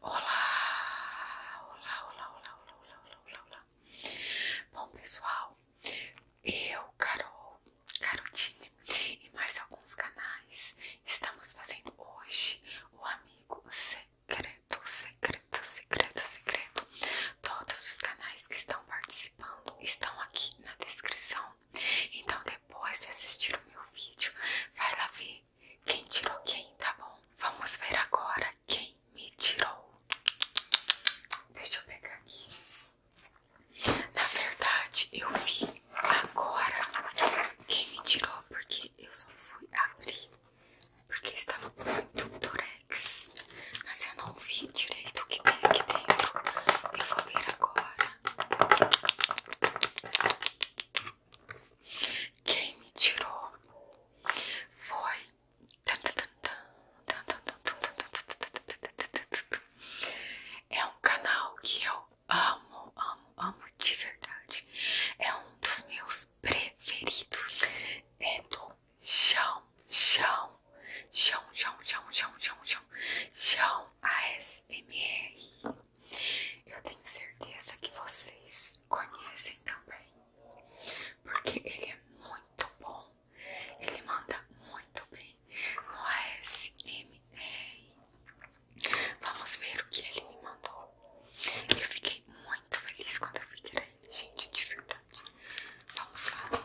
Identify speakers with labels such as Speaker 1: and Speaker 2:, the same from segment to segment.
Speaker 1: Olá, olá, olá, olá, olá, olá, olá, olá, Bom, pessoal, eu, Carol, Carotine e mais alguns canais estamos fazendo hoje o Amigo Secreto, Secreto, Secreto, Secreto. Todos os canais que estão participando estão aqui na descrição então depois de assistir o meu vídeo, vai lá ver quem tirou quem, tá bom? Vamos ver agora quem me tirou. Deixa eu pegar aqui. Na verdade, eu vi agora quem me tirou, porque eu só fui abrir, porque estava muito durex. Mas eu não vi direito o que tem aqui dentro. Eu vou ver agora agora? Quem me tirou foi é um canal que eu amo, amo, amo de verdade. É um dos meus preferidos. É do Chão chão, chão, chão, chão, chão, chão, chão, chão ASMR. Eu tenho certeza que vocês conhecem também, porque ele é muito bom, ele manda muito bem no ASMR. Vamos ver o que ele me mandou. Eu fiquei muito feliz quando eu vi que ele, gente, de verdade. Vamos lá.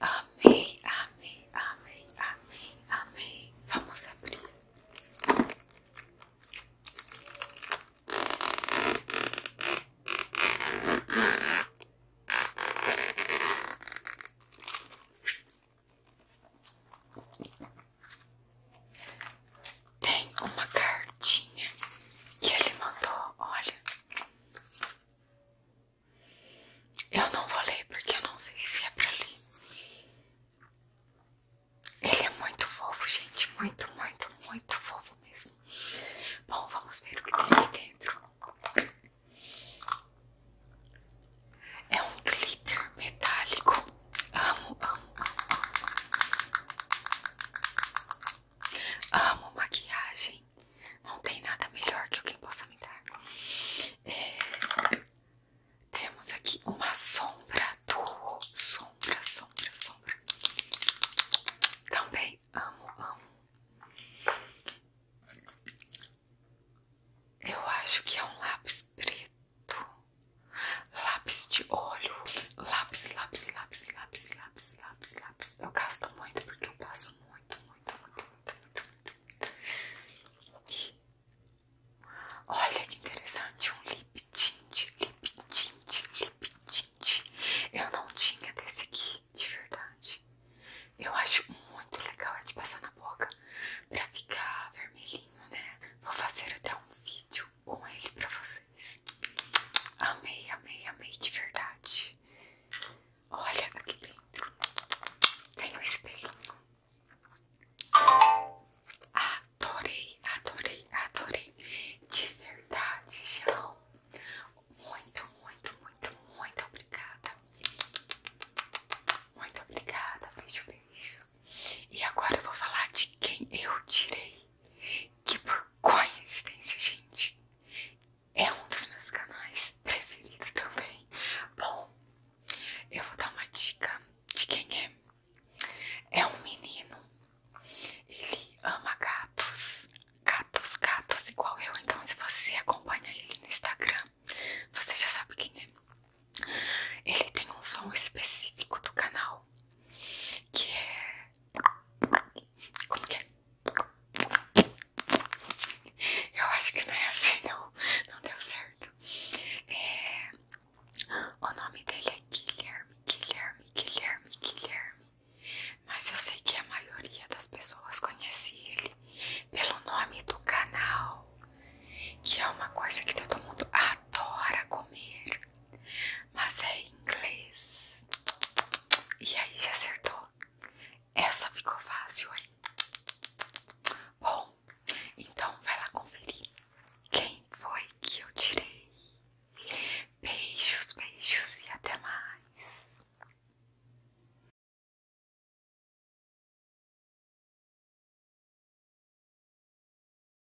Speaker 1: Amei, amei, amei, amei, amei. Vamos abrir. Tem uma cartinha que ele mandou, olha. Eu não vou ler porque eu não sei se é pra ler. Ele é muito fofo, gente. Muito, muito, muito fofo mesmo. Bom, vamos ver o que tem aqui dentro. É um glitter metálico. Amo, amo, amo. Amo maquiagem. Não tem nada melhor que alguém possa me dar. É, temos aqui uma sombra duo. Sombra, sombra, sombra. Também amo, amo. Eu acho que é um lápis preto. Lápis de olho. Lápis, lápis, lápis, lápis, lápis, lápis, lápis. Eu gasto muito porque eu passo muito, muito, muito, muito. Olha que interessante, um lip tint, lip tint, lip tint. Eu não tinha desse aqui, de verdade. Eu acho muito legal é de passar na boca pra ficar vermelhinho, né? Vou fazer até um vídeo com ele pra vocês. Amei, amei, amei de verdade. Olha aqui dentro. Tem um espelho. Adorei, adorei, adorei. De verdade, João. Muito, muito, muito, muito obrigada. Muito obrigada. Beijo, beijo. E agora eu vou falar de quem eu tirei. Que por coincidência, gente, é um dos meus canais preferidos também. Bom, eu vou dar uma dica de quem é. É um menino. Ele ama gatos. Gatos, gatos igual eu. Então, se você acompanha ele no Instagram, você já sabe quem é. Ele tem um som específico do canal que é como que é? Eu acho que não é assim, não, não deu certo. É, o nome dele é Guilherme, Guilherme, Guilherme, Guilherme. Mas eu sei que a maioria das pessoas conhece ele pelo nome do canal, que é uma coisa que todo mundo adora comer. Mas é inglês. E aí, já acertou? Essa ficou fácil, hein? Bom, então vai lá conferir quem foi que eu tirei. Beijos, beijos e até mais.